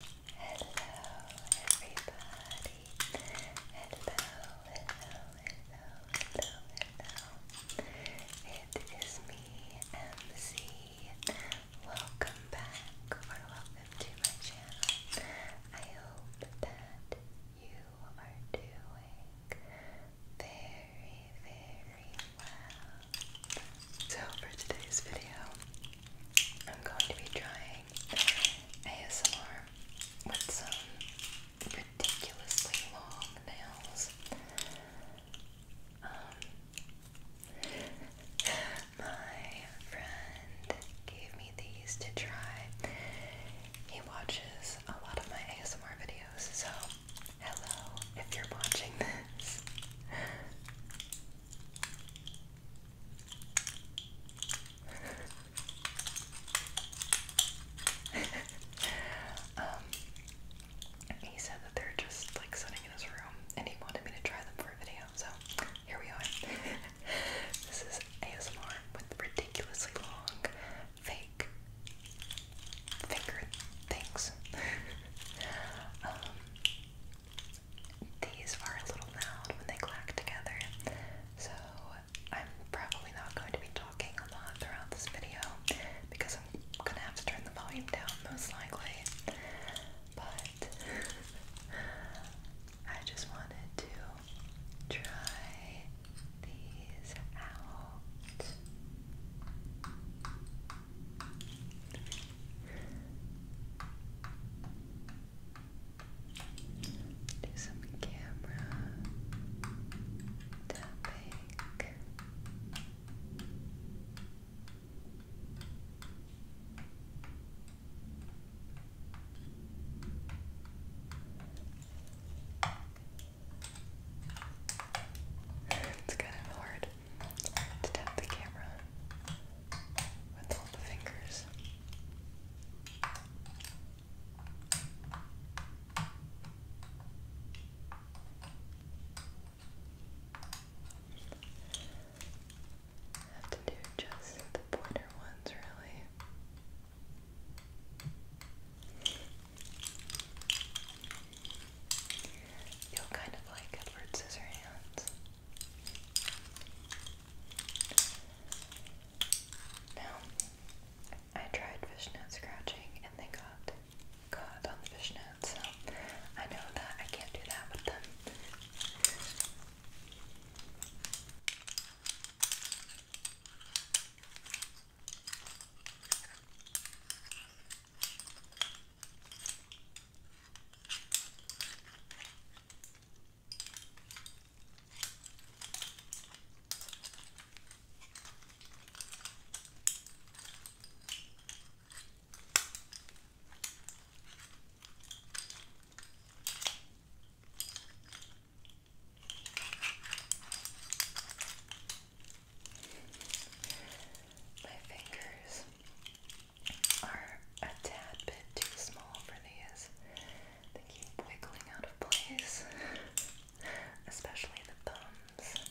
everybody. Hello, hello, hello, hello, hello. It is me, MC. Welcome back or welcome to my channel. I hope that you are doing very, very well. So for today's video, I'm going to be trying ASMR with some ridiculously long nails. Um, my friend gave me these to try. He watches a lot of my ASMR videos, so hello if you're watching this. um, he said that they're just like sitting in his room and he wanted me to try them for a video, so here we are. this is ASMR with ridiculously long fake finger things. um, these are a little loud when they clack together, so I'm probably not going to be talking a lot throughout this video because I'm gonna have to turn the volume down most likely. But I just wanted to try these out. Do some camera tapping. it's kind of hard to tap the camera with all the fingers. have to do just the pointer ones, really. you kind of like Edward Scissorhands. Now, I tried fishnet scratching and they got caught on the fishnet, so I know that I can't do that with them. My fingers are a tad bit too small for these. They keep wiggling out of place, especially the thumbs.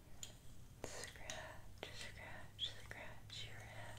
Scratch, scratch, scratch your head.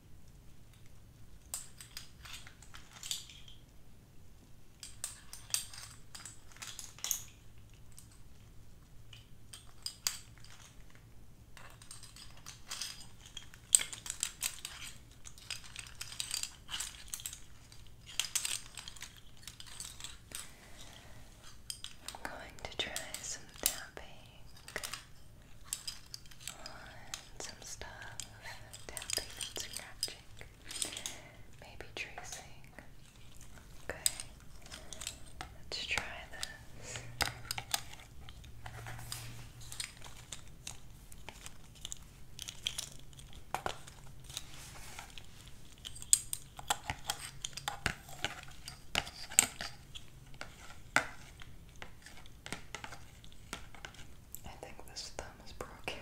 I'm going to try some tapping on some stuff, tapping scratching, maybe tracing. Okay, let's try this. I think this thumb is broken.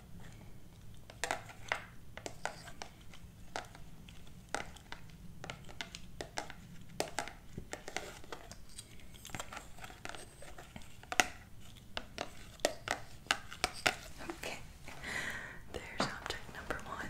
Okay, there's object number one.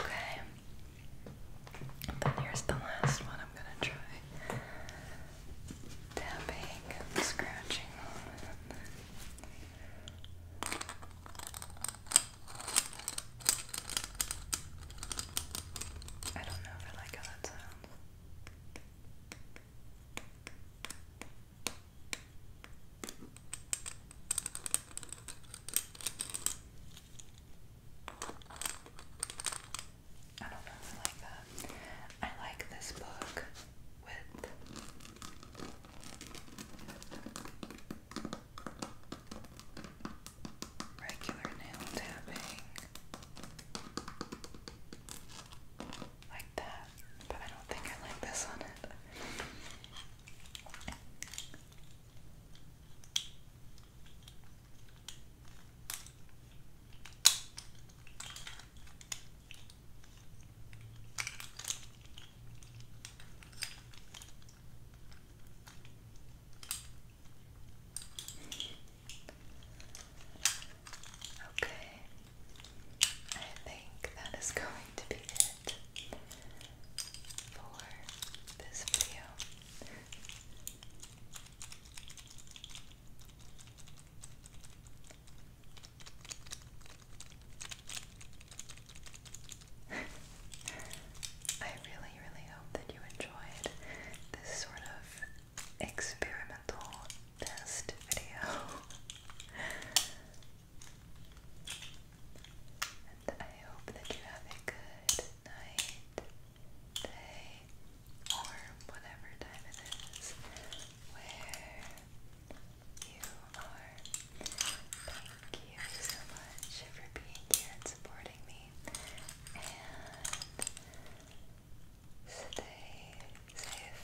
Okay. Then here's the last one I'm going to try tapping scratching I don't know if I like how that sounds. I don't know if I like that. I like this book with Regular nail tapping like that, but I don't think I like this on Okay, I think that is going to be it for this video. I really, really hope that you enjoyed this sort of experimental test video. and I hope that you have a good night, day, or whatever time it is where you are. Thank you so much for being here and supporting me. And stay safe.